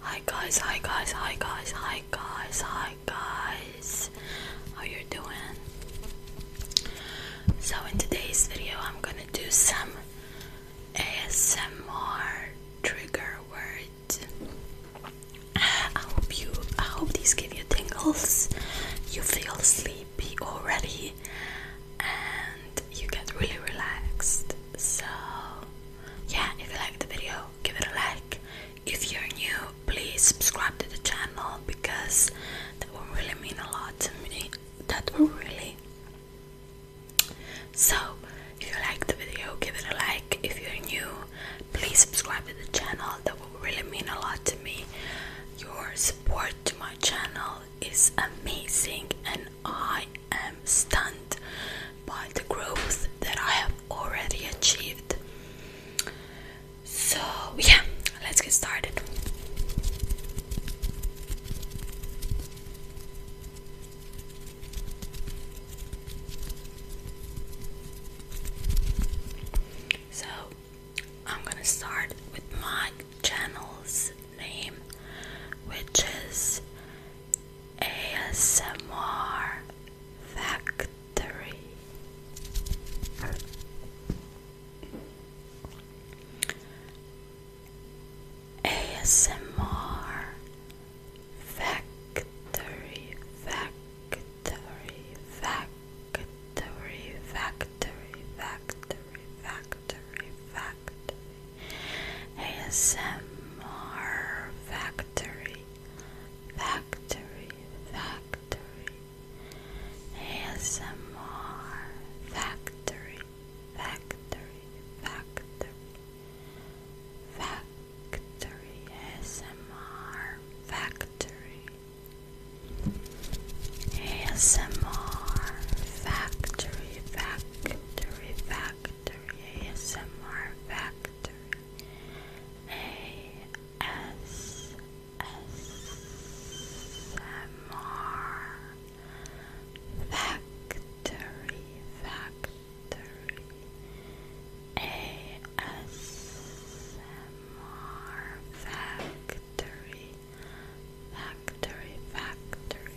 Hi guys, hi guys, hi guys, hi guys, hi guys. How you doing? So in today's video I'm gonna do some ASMR trigger words. I hope you I hope these give you tingles, you feel sleepy already and you get really relaxed. So yeah if you liked the video give it a like if you're new please subscribe to the channel because that will really mean a lot to me that will really so if you like the video give it a like if you're new please subscribe to the channel that will really mean a lot to me your support to my channel is amazing and I i am stunned by the growth that I have already achieved. So, yeah, let's get started. So, I'm gonna start with my channel's name, which is ASMR Factory. ASMR Factory, Factory, Factory, Factory, Factory, Factory, Factory fact ASMR Factory Factory Factory ASMR Factory Factory Factory Factory ASMR Factory ASMR Factory Factory Factory Factory, ASMR Factory, Factory, Factory, ASMR Factory, Factory, Factory,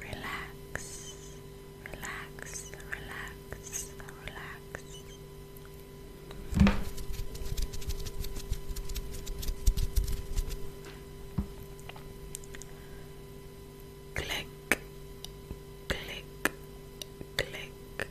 relax, relax, relax, relax, relax. Click, click, click,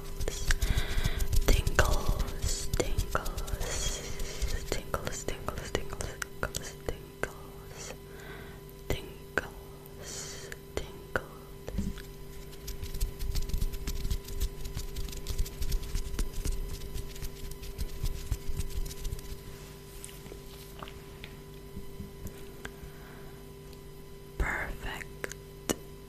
tingles, tingles, tingles, tingles, tingles, tingles, tingles, tingles, tingles, Perfect,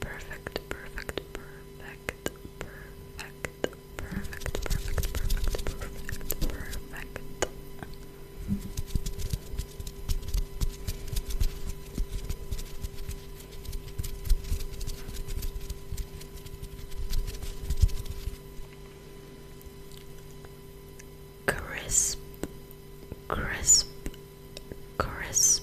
perfect, perfect, perfect, perfect, perfect, perfect, perfect, perfect, perfect. Crisp, crisp, crisp,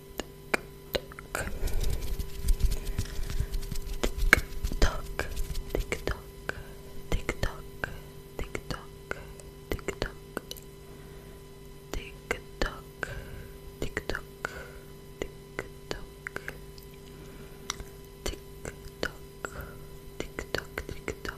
Tick tock, tick tock, tick tock, tick tock, tick tock, tick tock, tick tock, tick tock, tick tock, tick tock, tick tock, tick tock.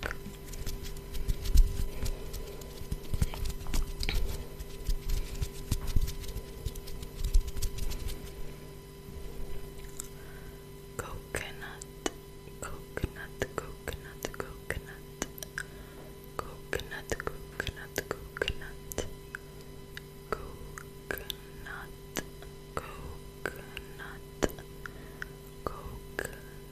back. Coconut, coconut, coconut, coconut, coconut, coconut, coconut, coconut, coconut, coconut.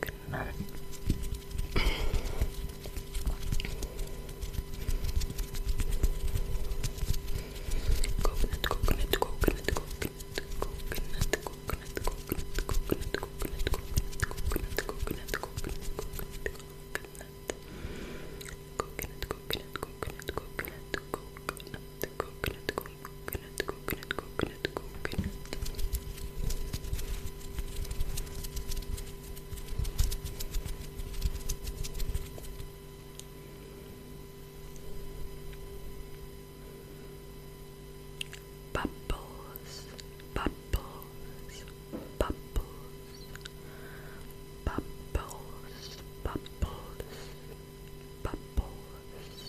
Good night. coconut, coconut, coconut, coconut, coconut, coconut, coconut, coconut, coconut, coconut, coconut, coconut, coconut, coconut, coconut, coconut, coconut, coconut. The coconut, coconut, coconut, coconut, coconut, coconut. Bubbles, bubbles, bubbles, bubbles, bubbles, bubbles, bubbles,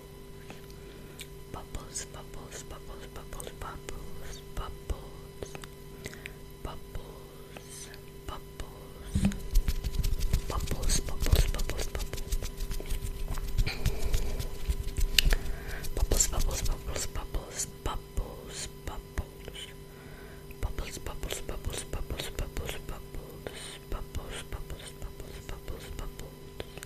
Bubbles, bubbles, bubbles, bubbles, bubbles, bubbles, bubbles, bubbles, bubbles, bubbles, bubbles, bubbles, bubbles, bubbles, bubbles, bubbles, bubbles, bubbles. Bubbles, bubbles, bubbles, bubbles, bubbles, bubbles, bubbles, bubbles, bubbles, bubbles, bubbles,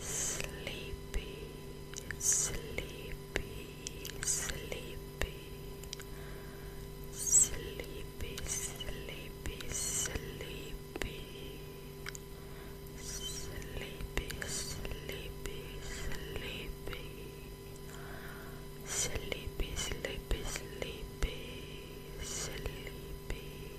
sleepy, sleepy, sleepy, sleepy, sleepy, sleepy, sleepy, sleepy, sleepy. Sleepy, sleepy, sleepy, sleepy,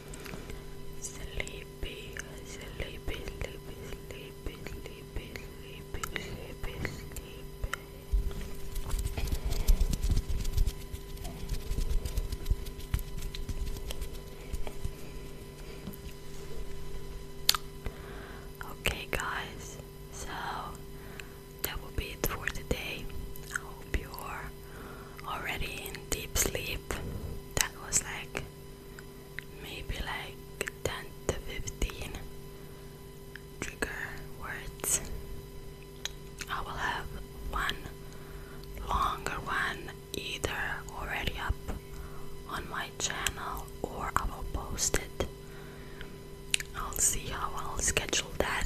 Sleepy, sleepy, sleepy, sleepy, sleepy, sleepy, sleepy, sleepy. Okay, guys, so that will be it for today. I hope you're already in deep sleep. That was like maybe like 10 to 15 trigger words. I will have one longer one either already up on my channel or I will post it. I'll see how I'll schedule that.